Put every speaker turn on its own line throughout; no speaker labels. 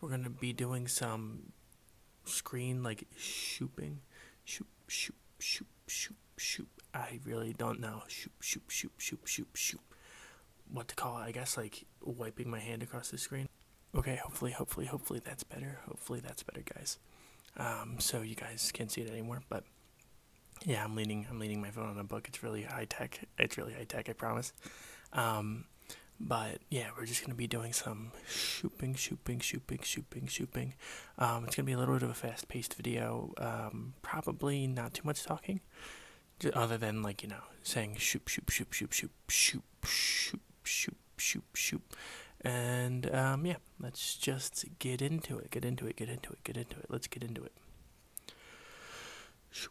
we're gonna be doing some screen like shooping, shoo shoo shoo shoo shoo. I really don't know shoop shoop shoop shoop shoop shoop. What to call it? I guess like wiping my hand across the screen. Okay, hopefully, hopefully, hopefully that's better. Hopefully that's better, guys. Um, so you guys can't see it anymore, but yeah, I'm leaning. I'm leaning my phone on a book. It's really high tech. It's really high tech. I promise. Um, but yeah, we're just gonna be doing some shooping, shooping, shooping, shooping, shooping. Um, it's gonna be a little bit of a fast-paced video. Um, probably not too much talking, just other than like you know saying shoop, shoop, shoop, shoop, shoop, shoop, shoop, shoop, shoop, shoop, and um, yeah, let's just get into it. Get into it. Get into it. Get into it. Let's get into it. Shoop.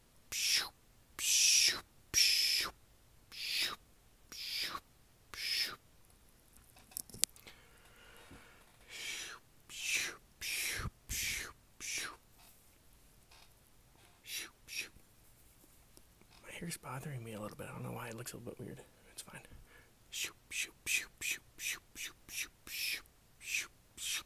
My hair's bothering me a little bit. I don't know why it looks a little bit weird. It's fine. Shoop, shoop, shoop, shoop, shoop, shoop, shoop, shoop,
shoop.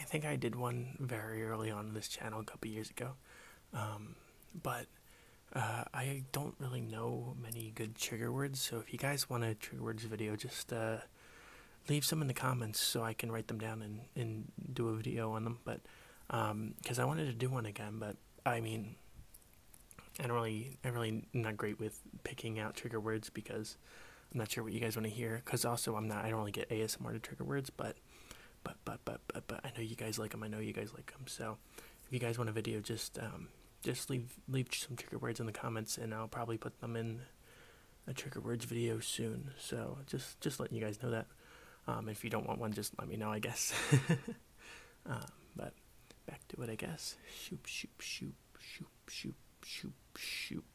I think I did one very early on this channel a couple years ago, um, but uh, I don't really know many good trigger words. So if you guys want a trigger words video, just uh, leave some in the comments so I can write them down and and do a video on them. But because um, I wanted to do one again, but I mean, I do really, I'm really not great with picking out trigger words because I'm not sure what you guys want to hear because also I'm not I don't really get ASMR to trigger words, but but but but but but I know you guys like them. I know you guys like them. So if you guys want a video, just um just leave leave some trigger words in the comments and I'll probably put them in a trigger words video soon. So just just letting you guys know that. Um, if you don't want one, just let me know. I guess. Um, but back to it, I guess. Shoop shoop shoop shoop shoop shoop shoop.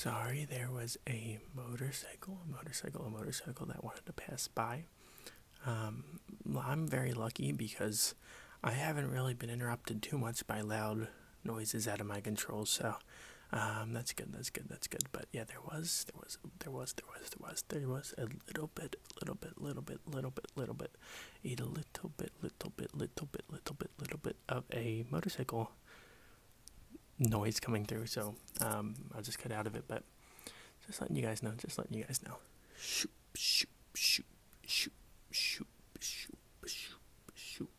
Sorry, there was a motorcycle, a motorcycle, a motorcycle that wanted to pass by. Um, I'm very lucky because I haven't really been interrupted too much by loud noises out of my control. So um, that's good. That's good. That's good. But yeah, there was, there was, there was, there was, there was, there was a little bit, little bit, little bit, little bit, little bit, a little bit, little bit, little bit, little bit, little bit of a motorcycle noise coming through. So um, I'll just cut out of it. But just letting you guys know. Just letting you guys know. Shoop, shoop, shoop, shoop, shoop, shoop,
shoop, shoop.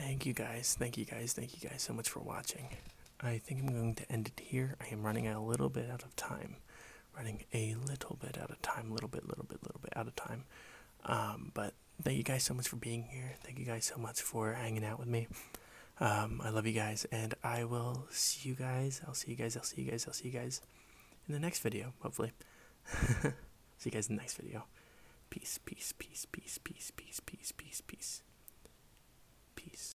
Thank you guys, thank you guys, thank you guys so much for watching. I think I'm going to end it here. I am running a little bit out of time. Running a little bit out of time, little bit, little bit, little bit out of time. Um, but thank you guys so much for being here. Thank you guys so much for hanging out with me. Um, I love you guys, and I will see you guys. I'll see you guys. I'll see you guys. I'll see you guys in the next video, hopefully. see you guys in the next video. Peace, peace, peace, peace, peace, peace, peace, peace, peace. Peace.